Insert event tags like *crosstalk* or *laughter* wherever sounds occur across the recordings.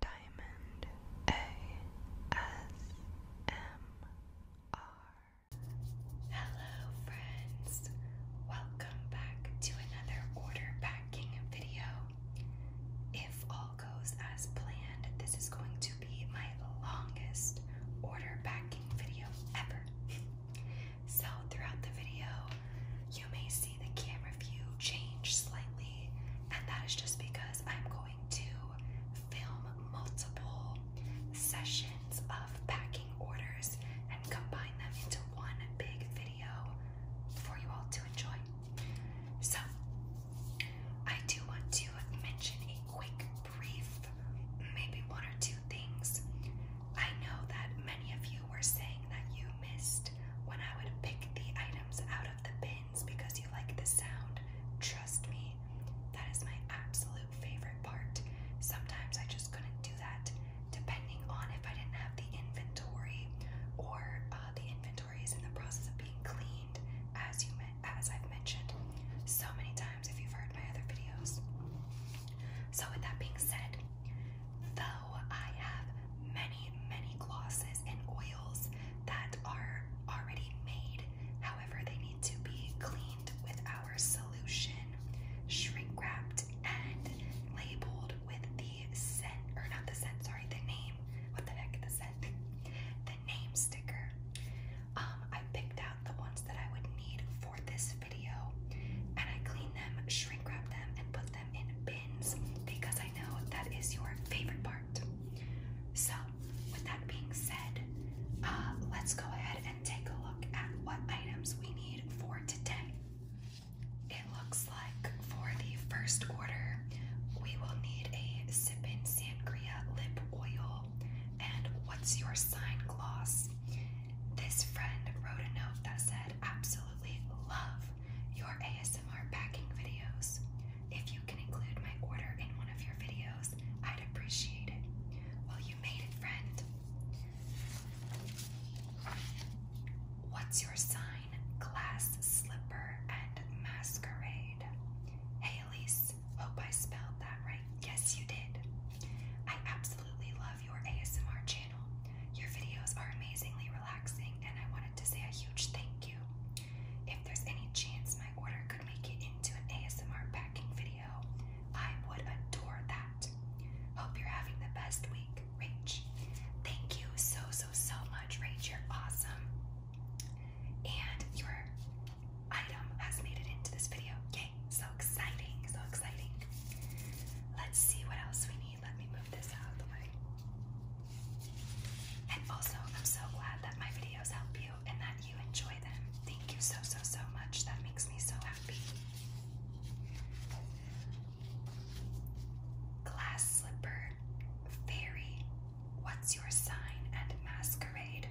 Diamond ASMR. Hello, friends. Welcome back to another order packing video. If all goes as planned, this is going to be my longest order packing video ever. *laughs* so, throughout the video, you may see the camera view change slightly, and that is just because I'm going to film multiple sessions of packing orders and combine them into one big video for you all to enjoy. So, I do want to mention a quick, brief, maybe one or two things. I know that many of you were saying that you missed when I would pick the items out of the bin because you like the sound. Trust me, that is my absolute favorite part. Sometimes I just couldn't do that depending on if I didn't have the inventory or uh, the inventory is in the process of being cleaned as you as I've mentioned so many times if you've heard my other videos. So with that being said, though I have many, many glosses and oils that are already made. However, they need to be cleaned with our solution, shrink wrapped, and labeled with the scent, or not the scent, sorry, the name. What the heck, the scent? The name sticker. Um, I picked out the ones that I would need for this video, and I clean them, shrink wrap them, and put them in bins because I know that is your favorite part so, with that being said, uh, let's go ahead and take a look at what items we need for today. It looks like for the first order, we will need a Sippin' Sangria lip oil and What's Your Sign gloss. This friend wrote a note that said, Absolutely love your ASMR packing videos. If you can include my order in one of your videos, I'd appreciate it. Well, you made it, friend. What's your sign? Glass slipper and masquerade. Hey, Elise. Hope I spelled that right. Yes, you did. I absolutely love your ASMR channel. Your videos are amazingly relaxing, and I wanted to say a huge thank you. If there's any chance my order could make it into an ASMR packing video, I would adore that. Hope you're having the best week, Rach. Thank you so, so, so much, Rach. You're awesome. And your item has made it into this video. Yay! So exciting, so exciting. Let's see what else we need. Let me move this out of the way. And also, I'm so glad that my videos help you and that you enjoy them. Thank you so, so, so much. That makes me so happy. Glass slipper, fairy, what's your sign and masquerade?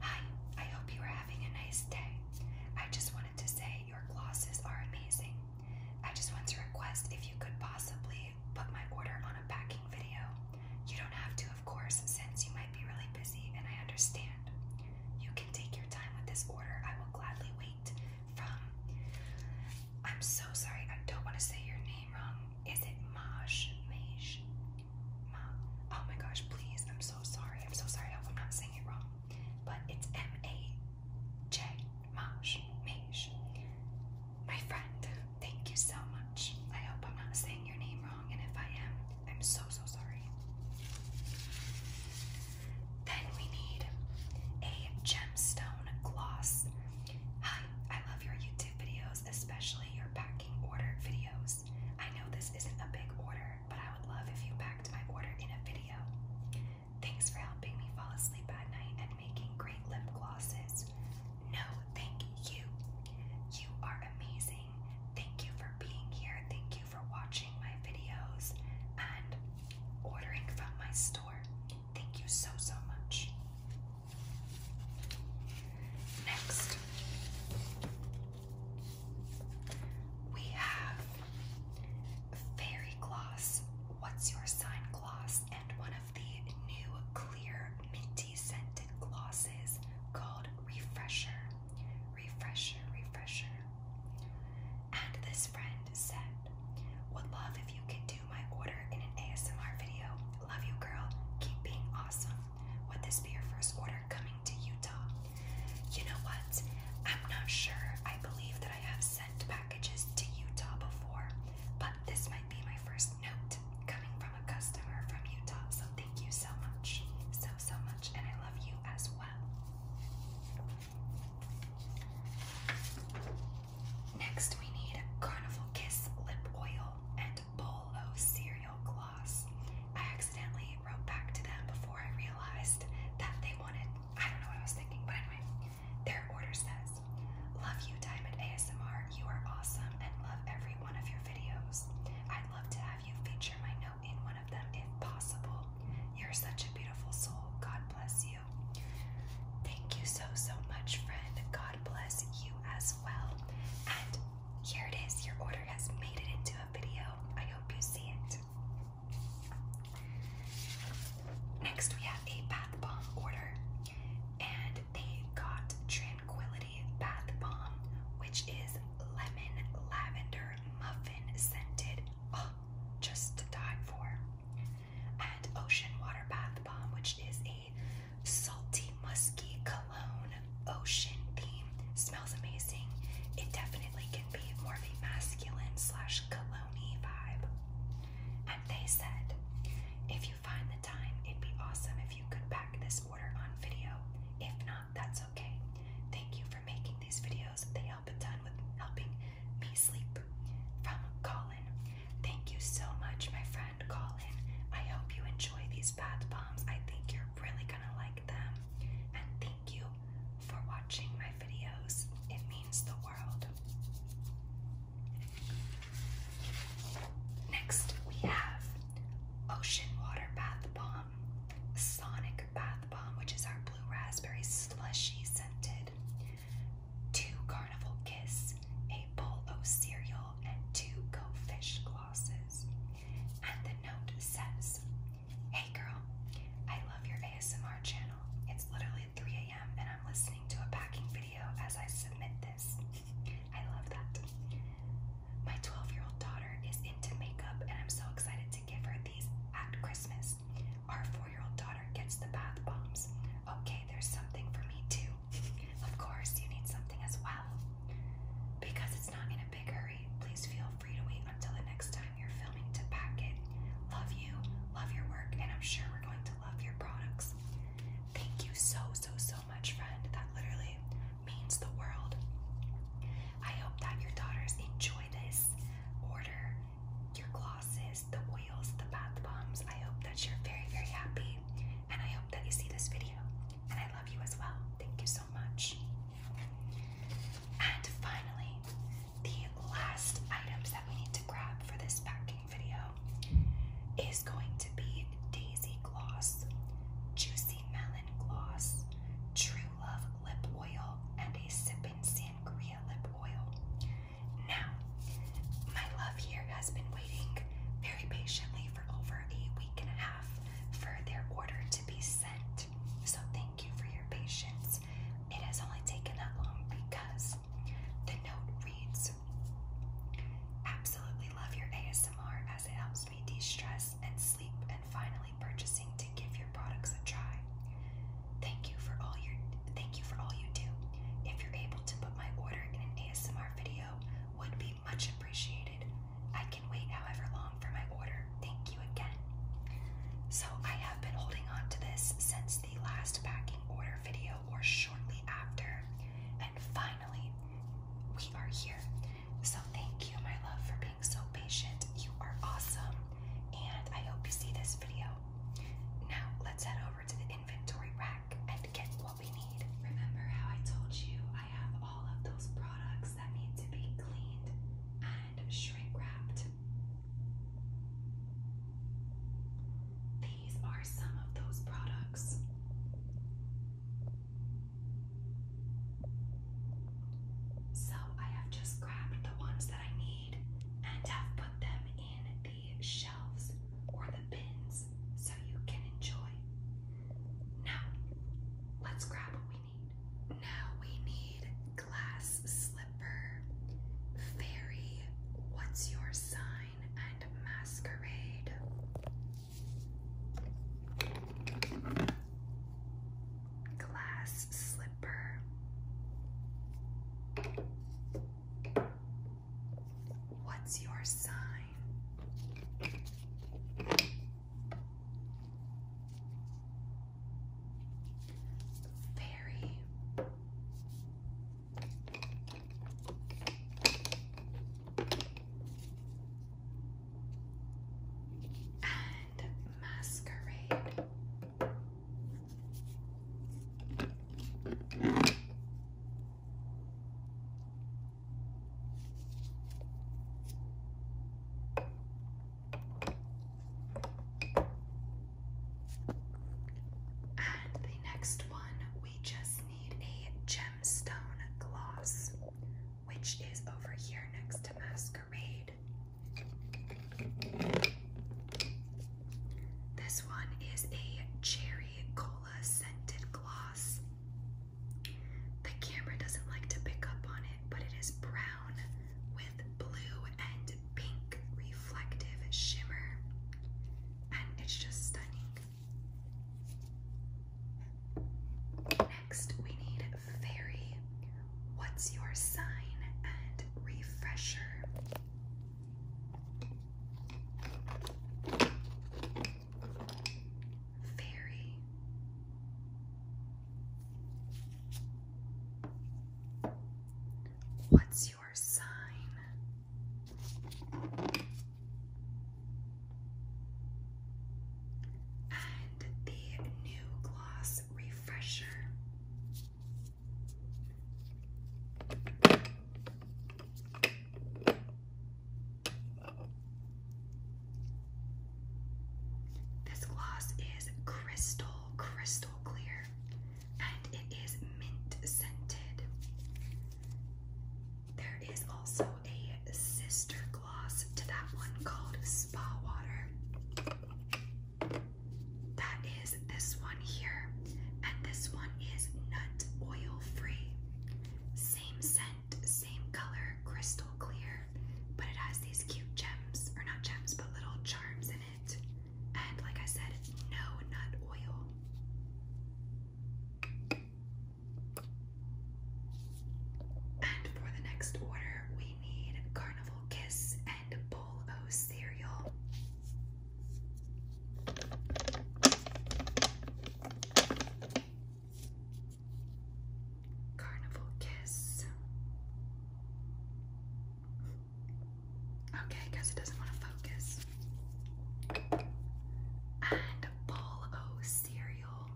Hi, I hope you are having a nice day. I just wanted to say your glosses are amazing. I just want to request if you could possibly put my order on a packing video. You don't have to, of course, since you might be really busy and I understand. You can take your time with this order. I will gladly wait. From I'm so sorry, I don't want to say your name wrong. Is it Maj? Maj? oh my gosh, please. I'm so sorry. I'm so sorry. I I'm not saying it wrong. But it's M A J Maj, Maj, my friend, thank you so much. I hope I'm not saying your name wrong, and if I am, I'm so so sorry. Then we need a gemstone gloss. Hi, I love your YouTube videos, especially your packing order videos. I know this isn't a big order, but I would love if you packed my order in a video. Thanks for helping me fall asleep at night and making great lip glosses. No, thank you. You are amazing. Thank you for being here. Thank you for watching my videos and ordering from my store. Thank you so, so much. Next, we have Fairy Gloss. What's your sign gloss and one the new clear minty scented glosses called Refresher. Refresher, refresher. And this friend said, Would love if you could do my order in an ASMR video. Love you, girl. Keep being awesome. Would this be your first order coming to Utah? You know what? I'm not sure. I believe that I have sent packages to Utah before. But this might be my first note coming from a customer from Utah, so thank you so much. So, so much, and I love you as well. Next, we need Carnival Kiss Lip Oil and Bowl Cereal Gloss. I accidentally wrote back to them before I realized that they wanted, I don't know what I was thinking, but anyway, their order says Love you, Diamond ASMR. You are awesome and love every one of your videos. I'd love to have you feature my note in one of them if possible. You're such a beautiful soul. God bless you. Thank you so, so much, friend. God bless you as well. And here it is. Your order has made it into a video. I hope you see it. Next, we have a bath bomb order and they got Tranquility Bath Bomb, which is lemon lavender muffin scented. Oh, just die for. And Ocean Water Bath Bomb, which is a salty, musky cologne ocean theme. Smells amazing. It definitely can be more of a masculine slash cologne vibe. And they said, if you find the time, it'd be awesome if you could pack this order on video. If not, that's okay. Thank you for making these videos. They help a ton with helping me sleep. From Colin. Thank you so much, my friend Colin. I hope you enjoy these bath bombs. I think you're really gonna like them. And thank you for watching my videos. It means the world. Next, we have Ocean Water Bath Bomb, Sonic Bath Bomb, which is our blue raspberry slushy scented, two Carnival Kiss, a bowl of cereal, and two goldfish Fish glosses. And the note says, Hey girl, I love your ASMR channel. It's literally 3 a.m. and I'm listening to a packing video as I submit this. I love that. My 12 year old daughter is into makeup, and I'm so excited to give her these at Christmas. Our four year old daughter gets the bath bombs. Okay, there's something for me too. of course, you need something as well. Because it's not in a big hurry, please feel free to wait until the next time you're filming to pack it. Love you, love your work, and I'm sure we're going to to love your products. Thank you so, so, so much, friend. That literally means the world. I hope that your daughters enjoy this order, your glosses, the oils, the bath bombs. I hope that you're very, very happy. And I hope that you see this video. And I love you as well. Thank you so much. And finally, the last items that we need to grab for this packing video is going to be Daisy Gloss, Juicy Melon Gloss, True Love Lip Oil, and a Sipping Sangria Lip Oil. Now, my love here has been waiting very patiently for over a week and a half for their order to be sent. So, thank you for your patience. It has only taken that long because the note reads videos. Absolutely love your ASMR as it helps me de stress and sleep, and finally purchasing to give your products a try. Thank you for all your thank you for all you do. If you're able to put my order in an ASMR video, would be much appreciated. I can wait however long for my order. Thank you again. So I have been holding on to this since the last packing order video or shortly after, and finally we are here. So thank you, my love, for being so patient. You are awesome, and I hope you see this video. Now, let's head over to the inventory rack and get what we need. Remember how I told you I have all of those products that need to be cleaned and shrink wrapped? these are some of those products. So I have just grabbed the ones that I need and have put them in the shelves or the bins so you can enjoy. Now, let's grab what we need. Now we need glass slipper, fairy, what's your sign, and masquerade. Glass slipper. What's your sign? Fairy and masquerade. And the next one, we just need a gem gemstone gloss, which is over here next to masquerade. This one is a cherry cola scented gloss. The camera doesn't like to pick up on it, but it is brown with blue and pink reflective shimmer, and it's just stunning. Next, we need fairy. What's your sign and refresher? Fairy. What's your sign? And the new gloss refresher. This gloss is crystal, crystal clear, and it is mint scented. There is also a sister gloss to that one called Spa Water. That is this one here, and this one is nut oil free. Same scent, same color, crystal clear, but it has these cute gems, or not gems, but little charms in it. And like I said, no nut oil. And for the next order, we need Carnival Kiss and Bowl O cereal. Carnival Kiss. Okay, I it doesn't want to focus. And Bowl cereal.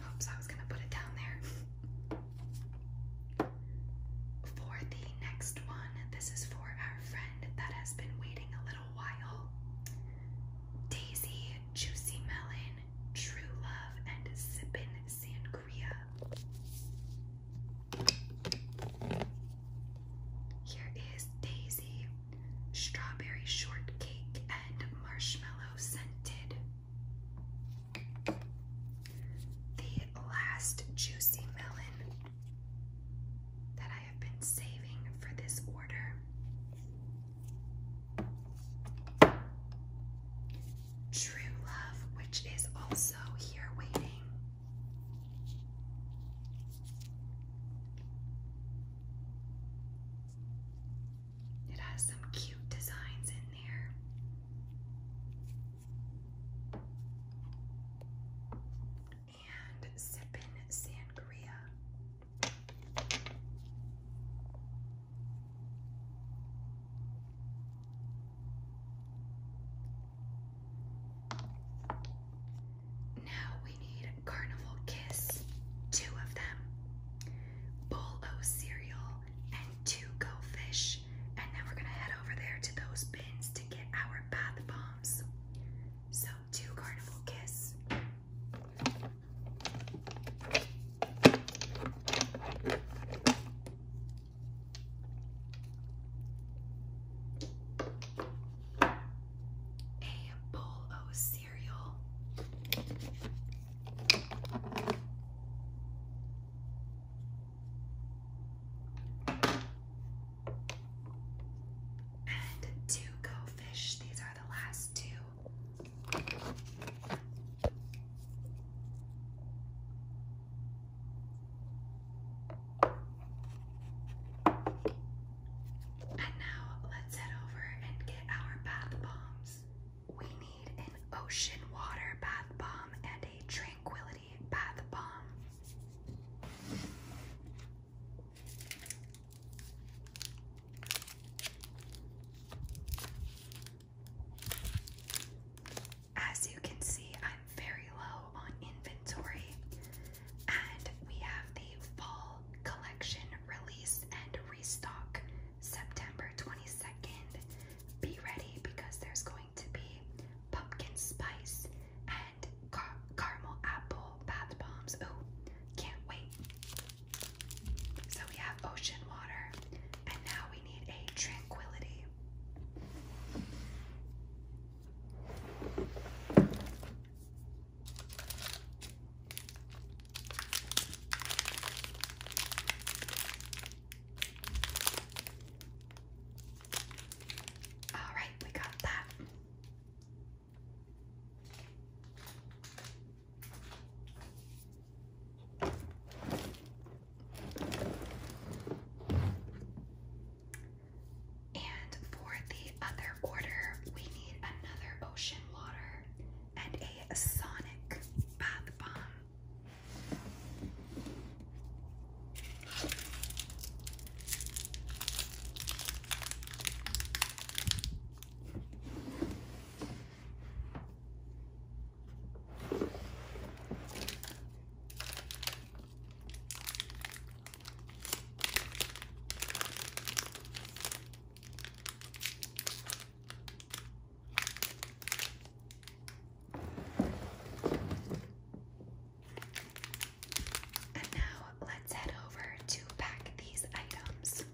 Oops, I was going to put it down there. for the next one, this is for our friend that has been waiting a little while. Daisy Juicy Melon True Love and sipping Sangria. Here is Daisy Strawberry Shortcake and Marshmallow Scented. The last juicy melon that I have been saving for this order True Love, which is also here waiting. It has some cute designs in there. And Sippin' Sangria. Now we need Carnival Kiss, two of them, Bowl cereal, and two Go Fish. And then we're gonna head over there to those bins to get our bath bombs. So, two Carnival Kiss. A bowl o cereal. And two go These are the last two. And now let's head over and get our bath bombs. We need an ocean water bath bomb and a tranquility bath bomb. As you can see, I'm very low on inventory, and we have the fall collection release and restock September 22nd. Be ready because there's going to be pumpkin spice and caramel apple bath bombs. Oh, can't wait! So we have ocean water, and now we need a tranquility. All right, we got that. And for the other order, we need another ocean water and a sonic bath bomb. And now let's head over to pack these items.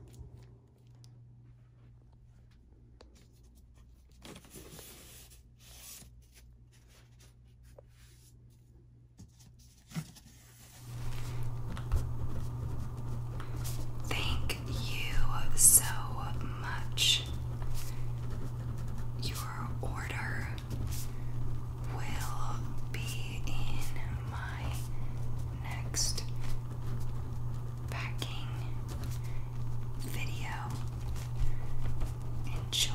Thank you so much. Your order will be in my next packing video. Enjoy.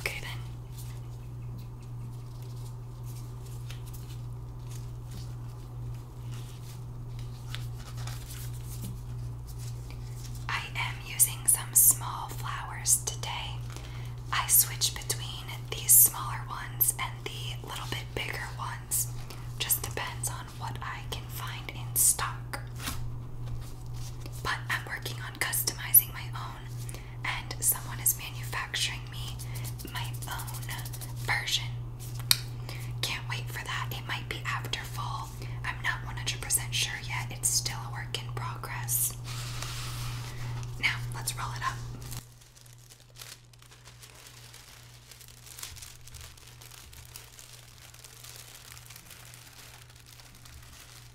Okay then. I am using some small flowers today. I switch between these smaller ones and the little bit bigger ones. Just depends on what I can find in stock. But I'm working on customizing my and someone is manufacturing me my own version. Can't wait for that. It might be after fall. I'm not 100% sure yet. It's still a work in progress. Now, let's roll it up.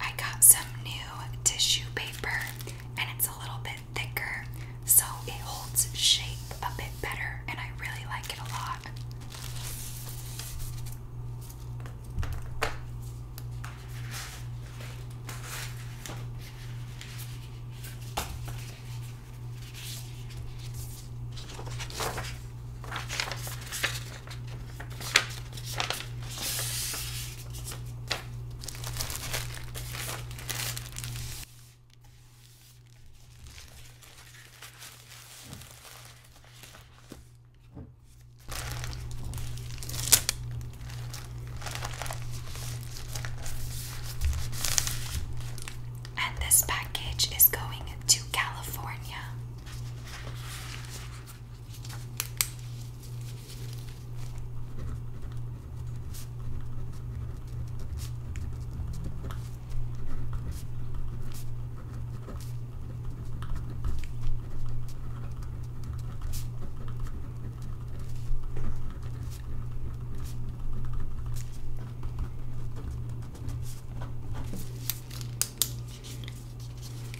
I got some new tissue paper and it's a little bit thicker, so it holds shape a bit better, and I really like it a lot. And this package is going to California.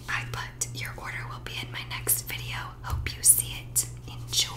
I put your order will be in my next video. Hope you see it. Enjoy.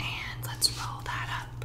And let's roll that up.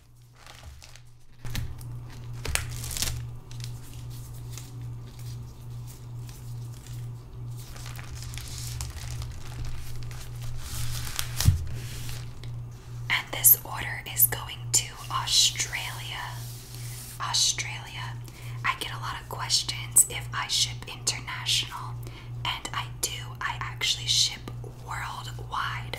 And this order is going to Australia. Australia. I get a lot of questions if I ship international, and I do. I actually ship worldwide.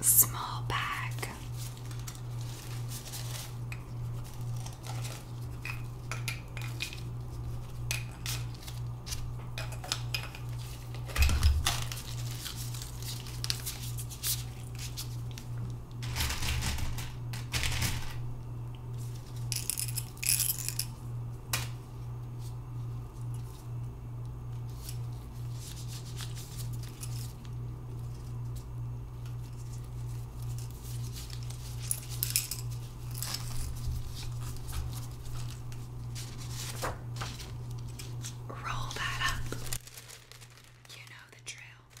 Small bag. Roll that up. You know the drill.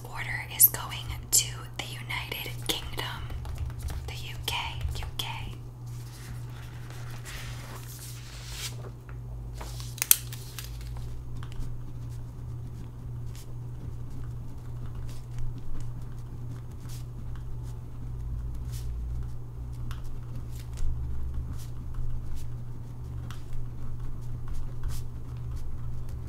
order is going to the United Kingdom, the UK, UK.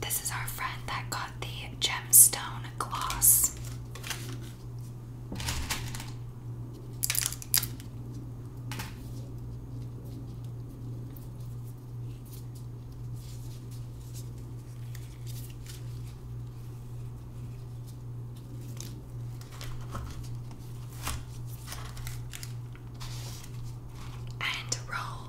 This is our friend that got the gemstone gloss. And roll.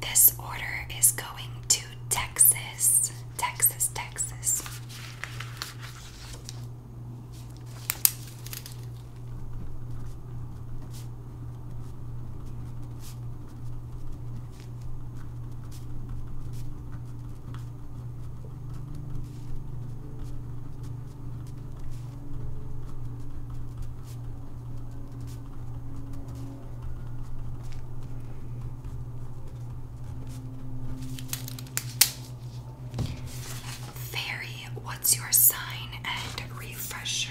This order is going to Texas, Texas, Texas. Fairy, what's your sign and refresher?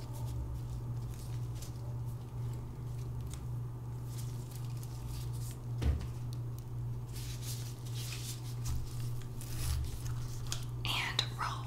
And roll.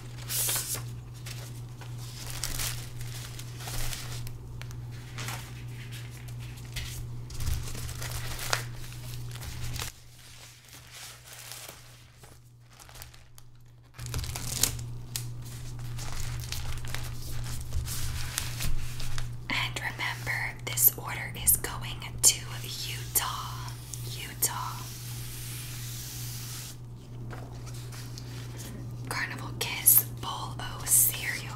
And remember, this order is going to Utah. Utah. Carnival Kiss Bowl Cereal.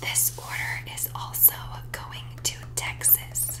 This order is also going to Texas.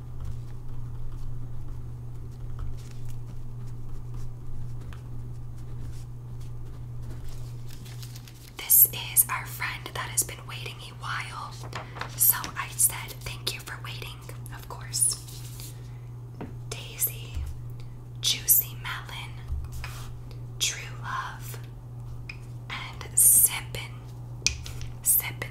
This is our friend that has been waiting a while, so I said thank you for waiting, of course. Daisy, Juicy Melon, True Love, and Sippin'. Sippin'.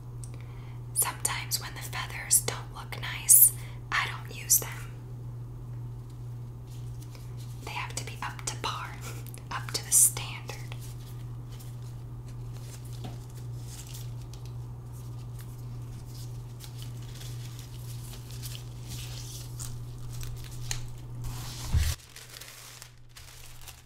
Sometimes, when the feathers don't look nice, I don't use them. They have to be up to par, up to the standard.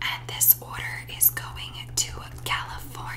And this order is going to California.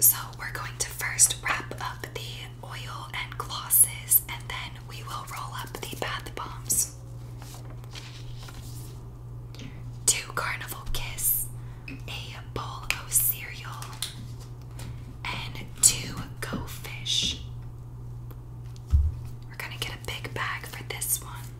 So, we're going to first wrap up the oil and glosses, and then we will roll up the bath bombs. Two Carnival Kiss, a bowl of cereal, and two Go Fish. We're gonna get a big bag for this one.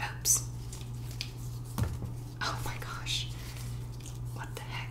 Oops. Oh my gosh. What the heck?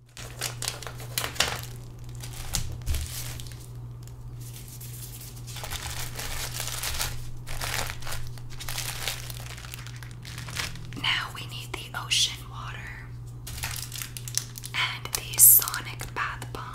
Now we need the ocean water and the sonic bath bomb.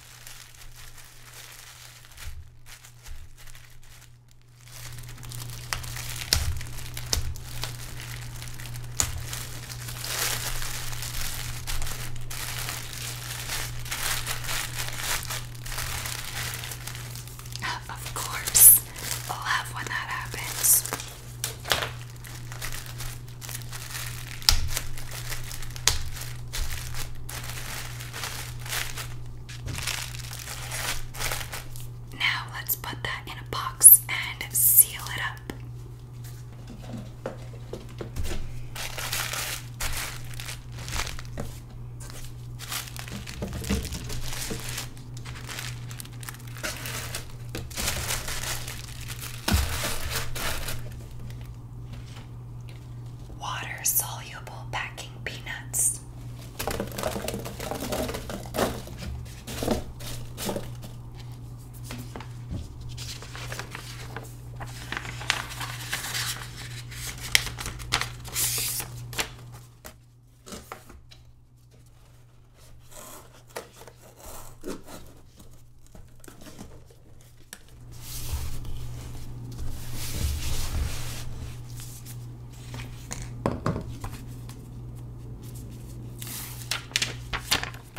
Of course, love when that happens. Now let's put that in a box and seal it up water soluble packing peanuts.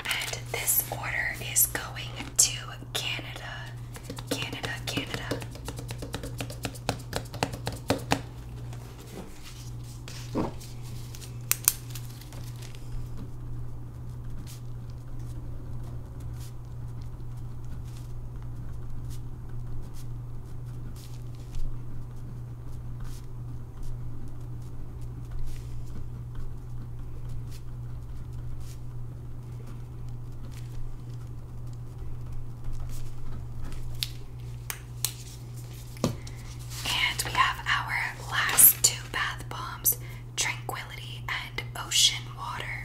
And this order is going to Canada, Canada, Canada. And we have our last two bath bombs Tranquility and Ocean Water.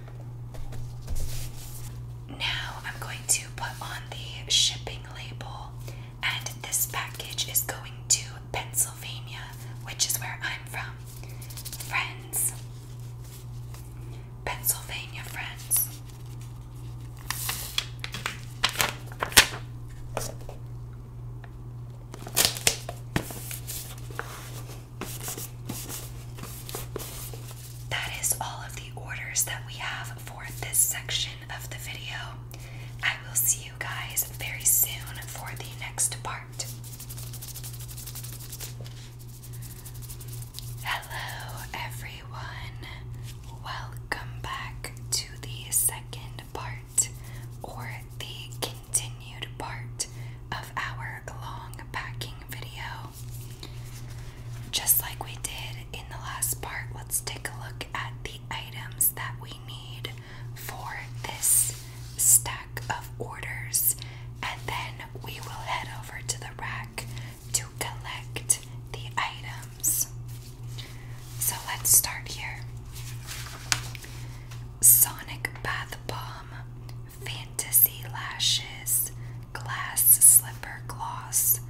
Now I'm going to put on the shipping label, and this package is going to Pennsylvania, which is where I'm from. Friends, Pennsylvania friends. That is all of the orders that we have for this section of the video. I will see you guys very soon for the next part. Hello, everyone. Welcome back to the second part or the continued part of our long packing video. Just like we did in the last part, let's take a look at the items that we need for this stack of orders, and then we will head over to the rack to collect the items. So let's start here Sonic Bath Bomb, Fantasy Lashes, Glass Slipper Gloss,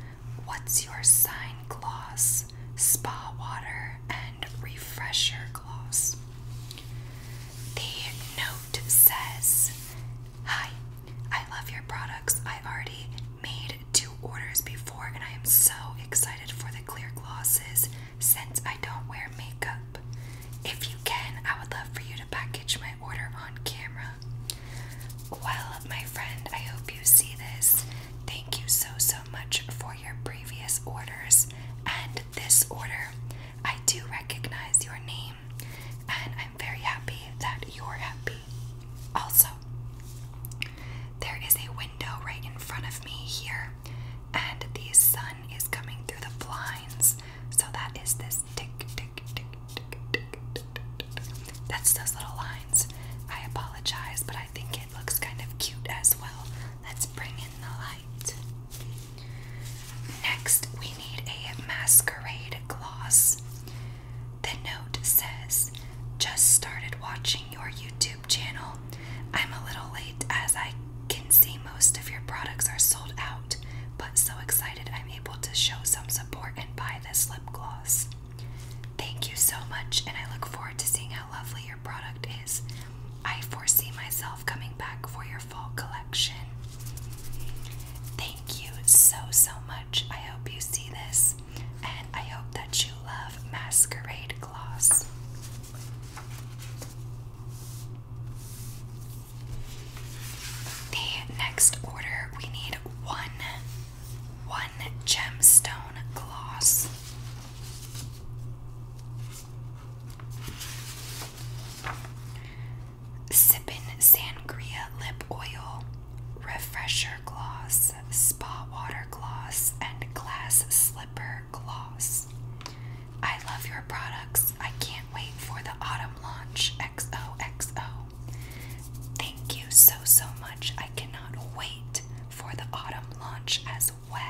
What's Your Sign Gloss, Spa Water, and Refresher Gloss. The note says Hi, I love your products. I already made two orders before, and I am so excited for the clear glosses since I don't wear makeup. If you can, I would love for you to package my order on camera. Well, my friend, I hope you see this. Thank you so, so much for your previous orders and this order. I do recognize your name, and I'm very happy that you're happy. Also, there is a window right in front of me here, and the sun is coming through the blinds, so that is this tick, tick. That's those little lines. I apologize, but I think it looks kind of cute as well. Let's bring in the light. Next, we need a masquerade gloss. The note says, Just started watching your YouTube channel. I'm a little late as I can see most of your products are sold out, but so excited I'm able to show some support and buy this lip gloss. Thank you so much, and I look forward to seeing how lovely your product is. I foresee myself coming back for your fall collection. Thank you so, so much. I hope you see this, and I hope that you love Masquerade Gloss. The next order we need one one gemstone gloss. sipping Sangria Lip Oil, Refresher Gloss, Spa Water Gloss, and Glass Slipper Gloss. I love your products. I can't wait for the autumn Glam Launch XOXO. Thank you so, so much. I cannot wait for the autumn launch as well.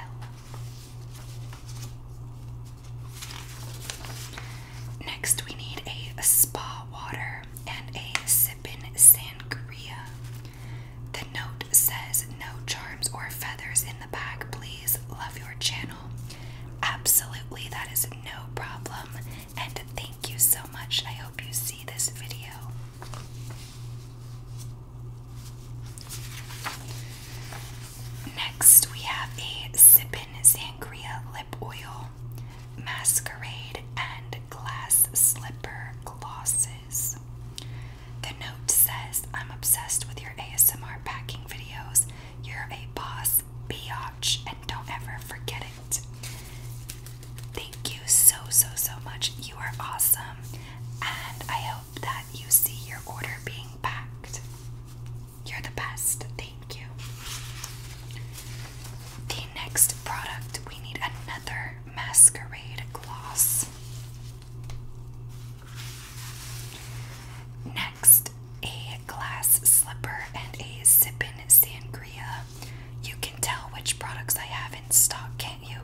Next, we need a, spa water and a sippin' sangria. The note says, No charms or feathers in the bag, please. Love your channel. Absolutely, that is no problem and thank you so much. I hope you see this video. Next, we have a Sippin' Sangria Lip Oil, Masquerade, and Glass Slipper Glosses. The note says, I'm obsessed with your ASMR packing videos. You're a boss is and don't ever forget it. Thank you so, so, so much. You are awesome, and I hope that you see your order being packed. You're the best. Thank you. The next product, we need another masquerade gloss. Next, a glass slipper and a sippin' sangria. You can tell which products I have in stock, can't you?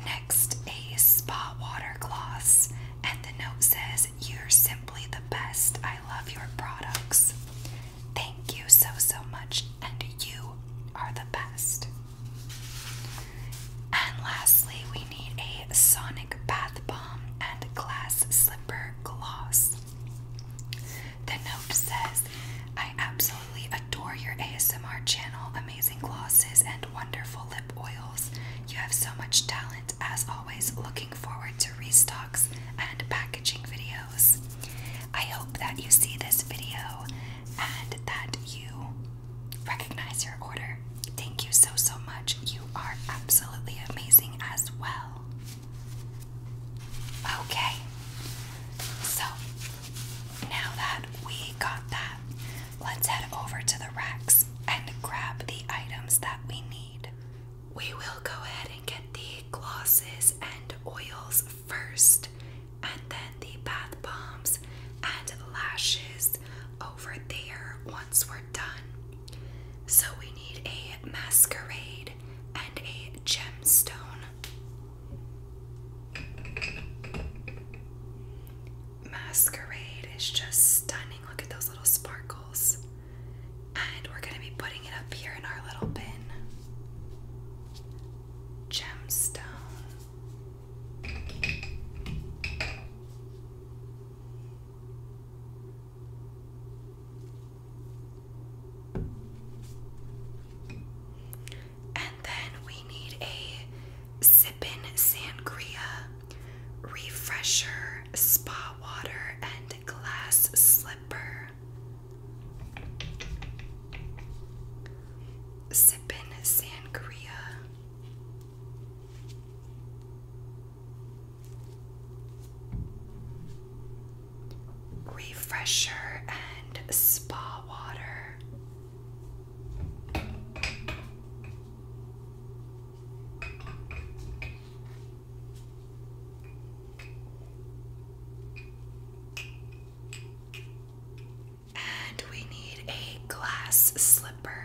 *laughs* Next, a spa water gloss, and the note says, You're simply the best. I love your products. Thank you so, so much, and you are the best. And lastly, we need a sonic bath bomb and glass slipper gloss. The note says, I absolutely adore your ASMR channel, amazing glosses, and wonderful lip oils. You have so much talent, as always, looking forward to restocks and packaging videos. I hope that you see this video and that you recognize your order Thank you so, so much. You are absolutely amazing as well. Okay, so now that we got that, let's head over to the racks and grab the items that we need. We will go ahead and get the glosses and oils first, and then the bath bombs and lashes over there once we're done. So we need a masquerade and a gemstone. Masquerade is just stunning. Look at those little sparkles. And we're going to be putting it up here in our little bin. Gemstone. And then we need a Sippin' Sangria, Refresher, Spa Water, and Glass Slipper. Sippin' Sangria refresher and spa water. And we need a glass slipper.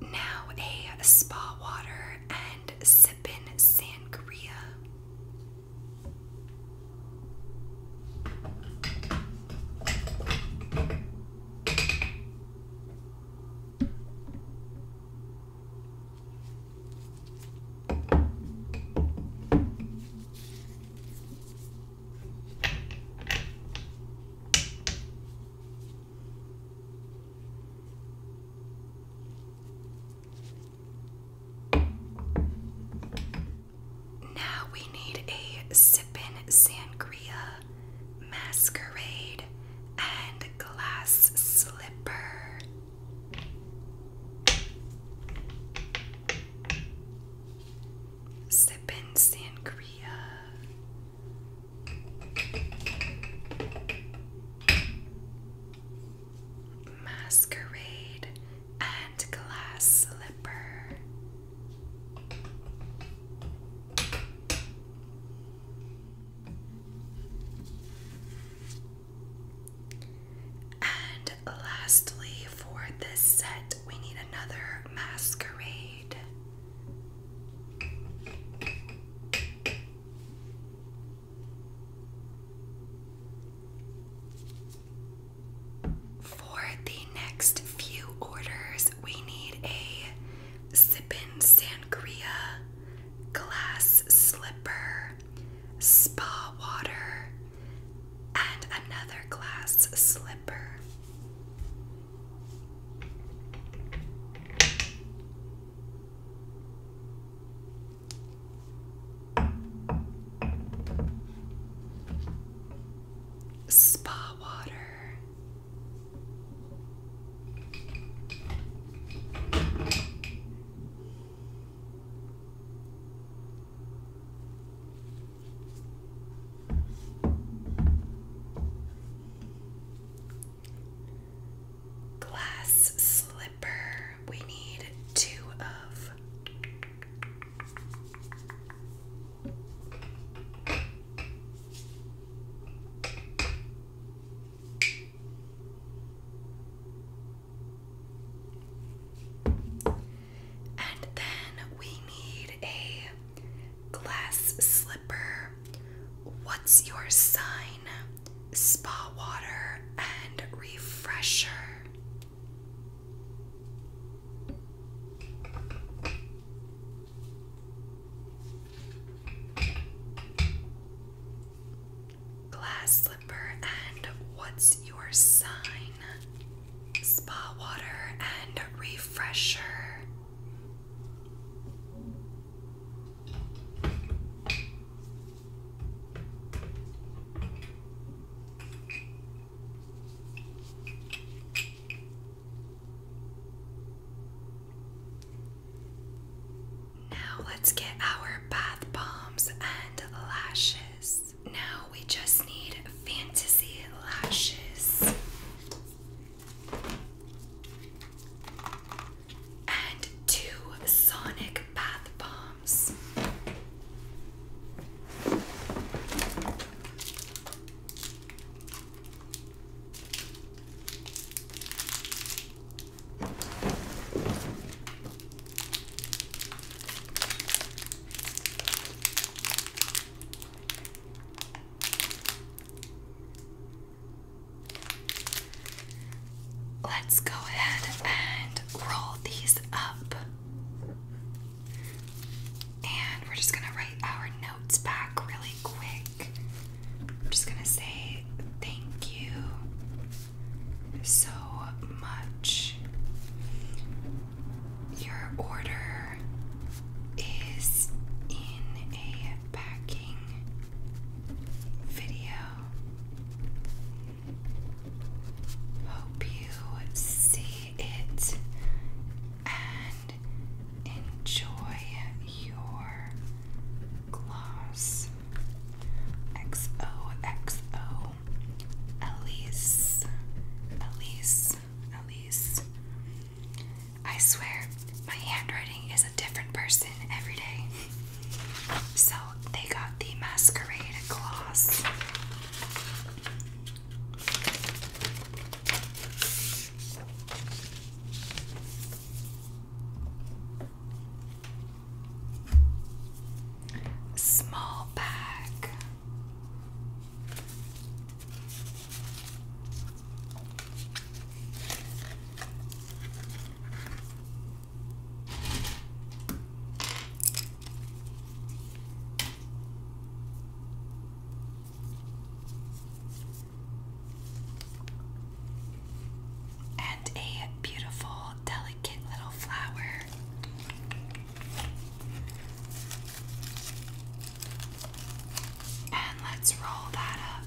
Now a spa water and sip sippin sangria. Now we need a sippin' sangria. Masquerade, and Glass Slipper. Sippin' Sangria. Masquerade and Glass Slipper. And lastly, for this set, we need another masquerade. For the next few orders, we need a sippin' sangria, glass slipper, spa water, and another glass slipper. Spa water. Glass slipper. We need two of. And then we need a glass slipper. What's your sign? Spa water and refresher. Glass slipper and what's your sign? Spa water and refresher. Now let's get our bath bombs and lashes. Now we just need fantasy lashes. And two sonic bath bombs. Let's go ahead and roll these up. And we're just going to write our notes back really quick. I'm just gonna say thank you so much. Your order is in a packing video. Hope you see it enjoy your gloss. XOXO Elise. Elise. Elise. I swear, my handwriting is a different person every day. So they got the masquerade gloss. Small bag and a beautiful, delicate little flower. And let's roll that up.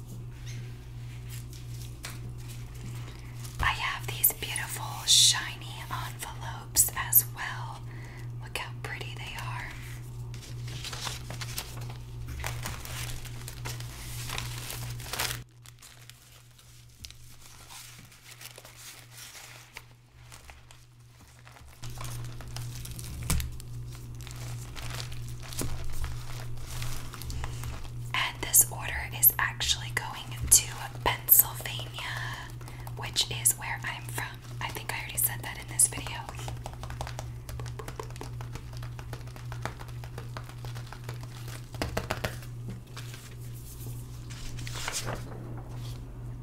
I have these beautiful shiny envelopes as well. Look how pretty they are. And this order is actually going to Pennsylvania, which is where I'm from. I think I already said that in this video.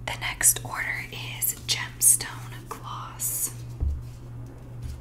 The next order is gemstone gloss.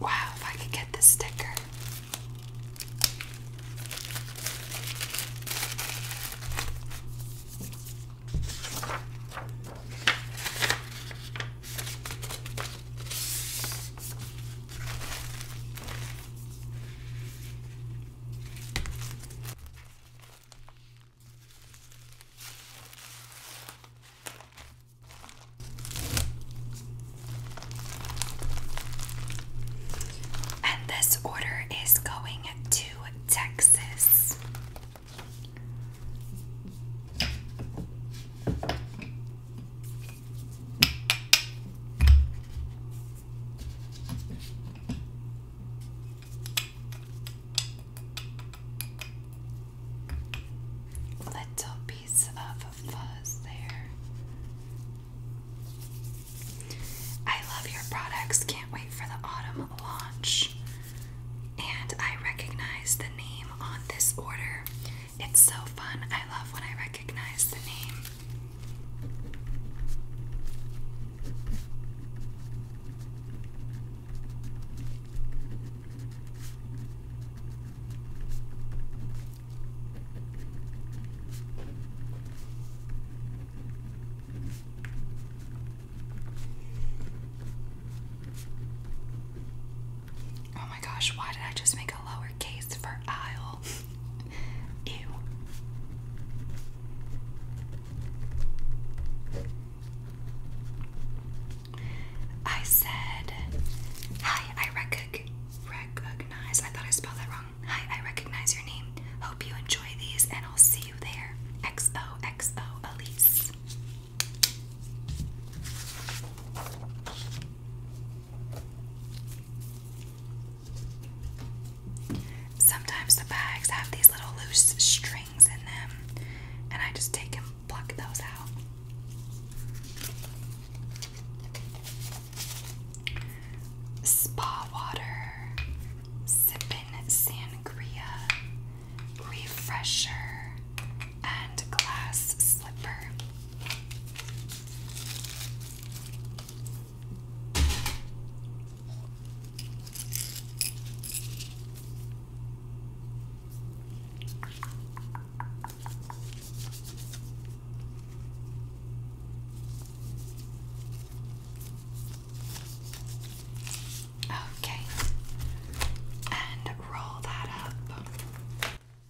Wow, if I could get the sticker. And this order is going to Texas. Little piece of fuzz there. I love your products. Can't wait for the autumn launch. And I recognize the name on this order. It's so fun. I love when I recognize the name. Oh my gosh, why did I just make a lowercase for aisle? *laughs* Ew. I said, Hi, I recognize. I thought I spelled that wrong. Hi, I recognize your name. Hope you enjoy these, and I'll see you there. XOXO Elise. Sometimes the bags have these little loose strings in them, and I just take and pluck those out. Spa water, sippin' sangria, refresher, and glass slipper. Okay, and roll that up.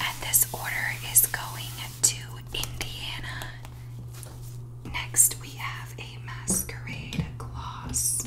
And this order is going to Indiana. Next, we have a masquerade gloss.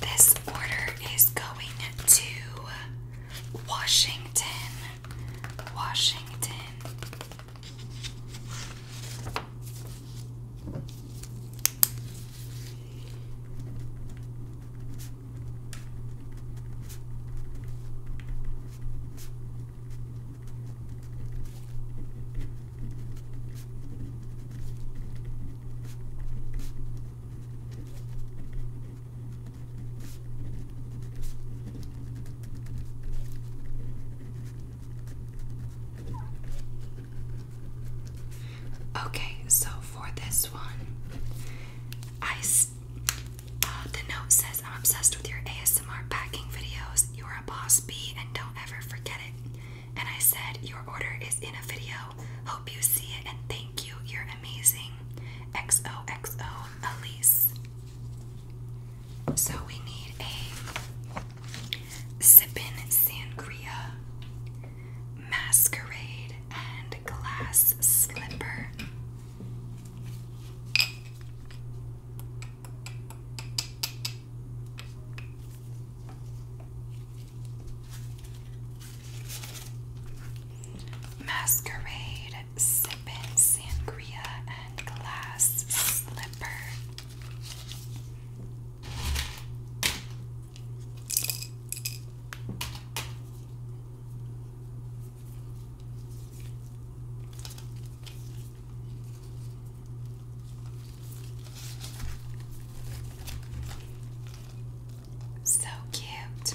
This order is going to Washington. Washington. Okay, so for this one, I uh, the note says I'm obsessed with your ASMR packing videos. You are a boss bee, and don't ever forget it. And I said your order is in a video. Hope you see it, and thank you. You're amazing. XOXO, Elise. So we need a sipping Sangria, Masquerade, and Glass Slipper. Masquerade, sipping Sangria, and Glass Slipper. So cute.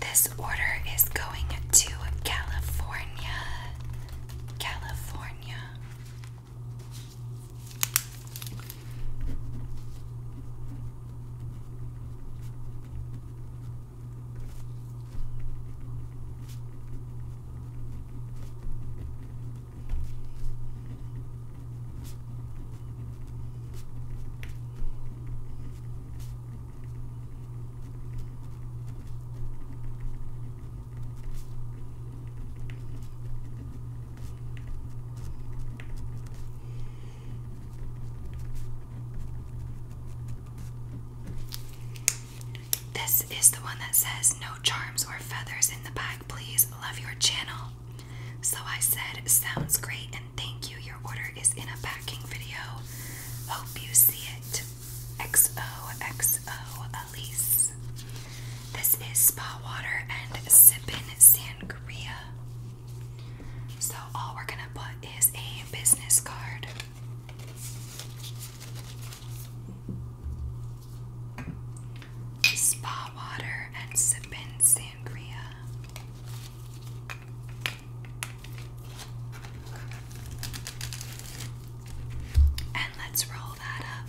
This order is going to California. California. This is the one that says, No charms or feathers in the bag, please. Love your channel. So I said, Sounds great, and thank you. Your order is in a packing video. Hope you see it. XOXO Elise. This is spa water and sippin' sangria. So all we're gonna put is a business card. Spa water and sippin' sangria sangria. And let's roll that up.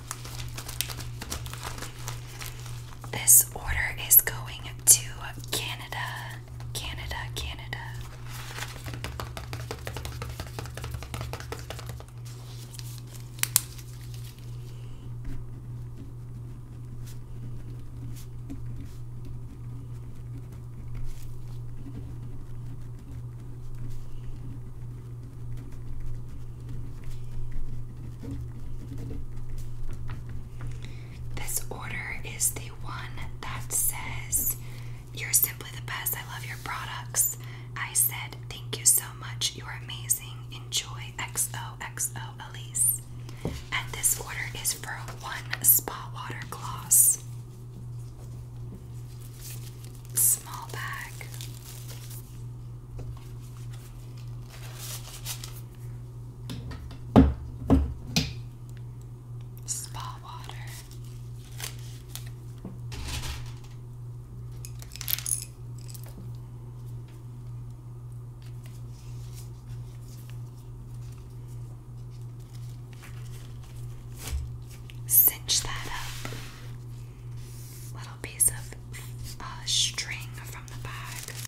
This order is going to Canada, Canada, Canada. This order is the one that says, You're simply the best. I love your products. I said, Thank you so much. You're amazing. Enjoy XOXO Elise. And this order is for one spa water gloss. Small bag. Spa water. Cinch that up. Little piece of uh, string from the bag.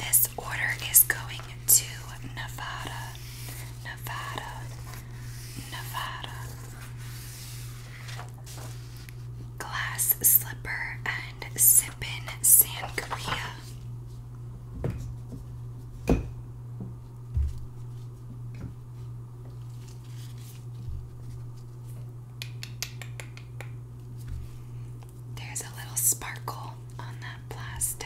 This order is going to Nevada, Nevada, Nevada. Glass slipper and sippin' San there's a little sparkle on that plastic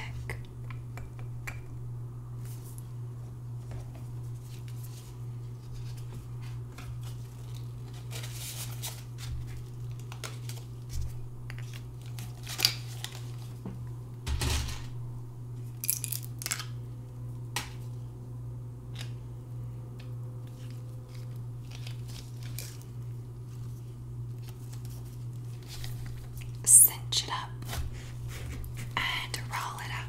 cinch it up and roll it up.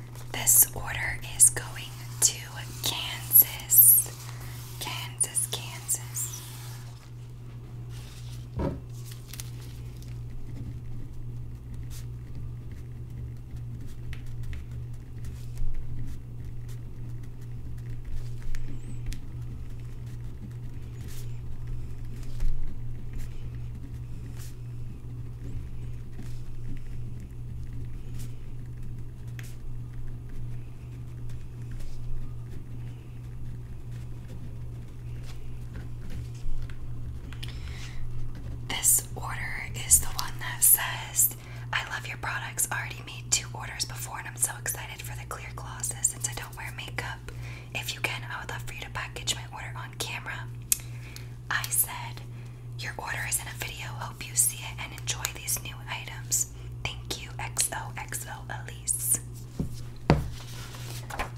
This order is going to Kansas. Kansas, Kansas. This order is the one that says, I love your products. already made two orders before, and I'm so excited for the clear glosses since I don't wear makeup. If you can, I would love for you to package my order on camera. I said, Your order is in a video. Hope you see it and enjoy these new items. Thank you, XO, XO, Elise.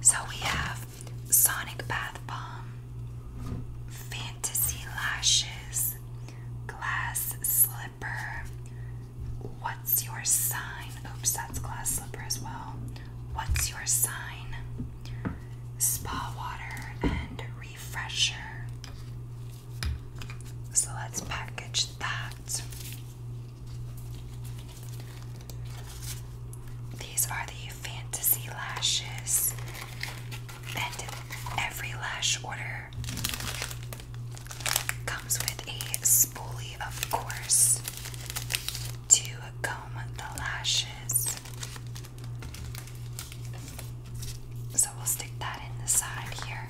So we have Sonic Bath Bomb, Fantasy Lashes, Glass Slipper. What's your sign? Oops, that's glass slipper as well. What's your sign? spa water and refresher. So let's package that. These are the fantasy lashes, and every lash order comes with a spoolie, of course, to comb the lashes. So we'll stick that in the side here.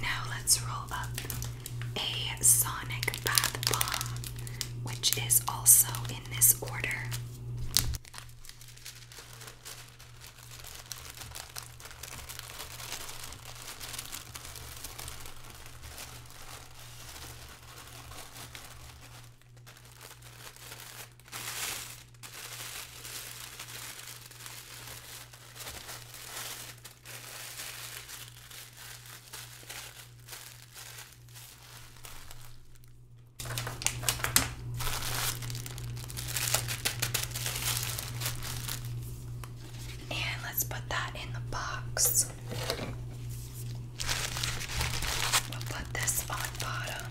Now let's roll up a Sonic Bath Bomb, which is also in this order. And let's put that in the box. We'll put this on bottom.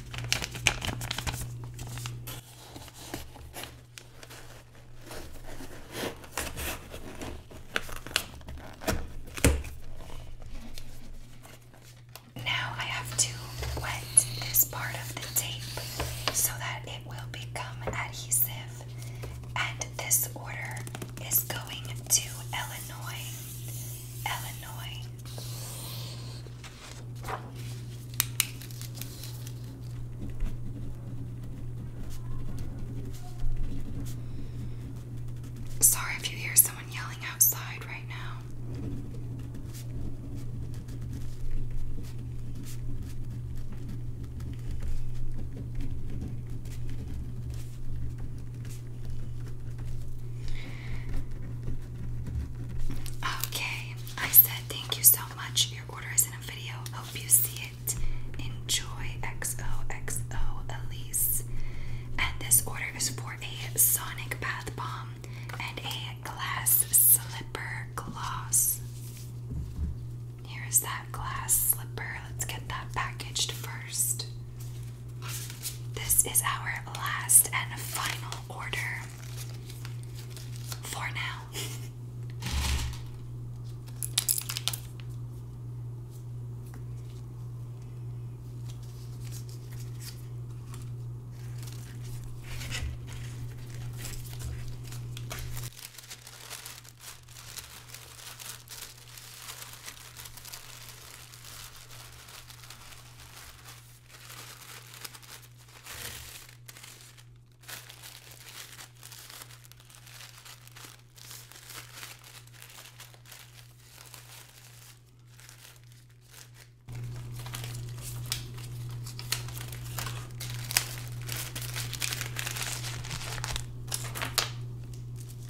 Now I have to wet this part of the tape so that it will become adhesive. And this order is going to Illinois. Illinois. Sorry if you hear someone yelling outside right now. Okay, I said thank you so much. Your order is in a video. Hope you see it. Enjoy XOXO Elise. And this order is for a sonic bath bomb and a glass slipper gloss. Here's that glass slipper. Let's get that packaged first. This is our last and final order for now.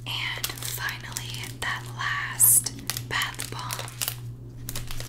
And finally, that last bath bomb.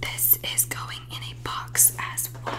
This is going in a box as well.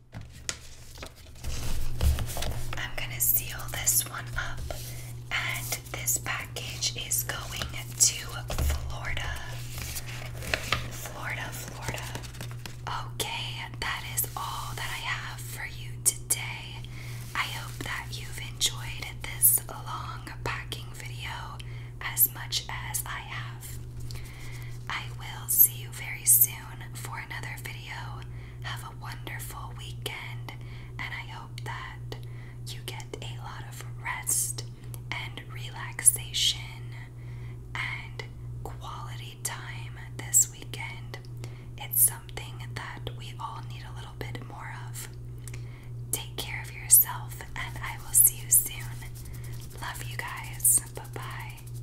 I'm gonna seal this one up, and this package is going to Florida. Florida, Florida. Okay, that is all that I have for you today. I hope that you've enjoyed this long packing video as much as I have. I will see you very soon for another video. Have a wonderful weekend, and I hope that you get a lot of rest and relaxation and quality time this weekend. It's something that we all need a little bit more of. Take care of yourself, and I will see you soon. Love you guys. Bye bye.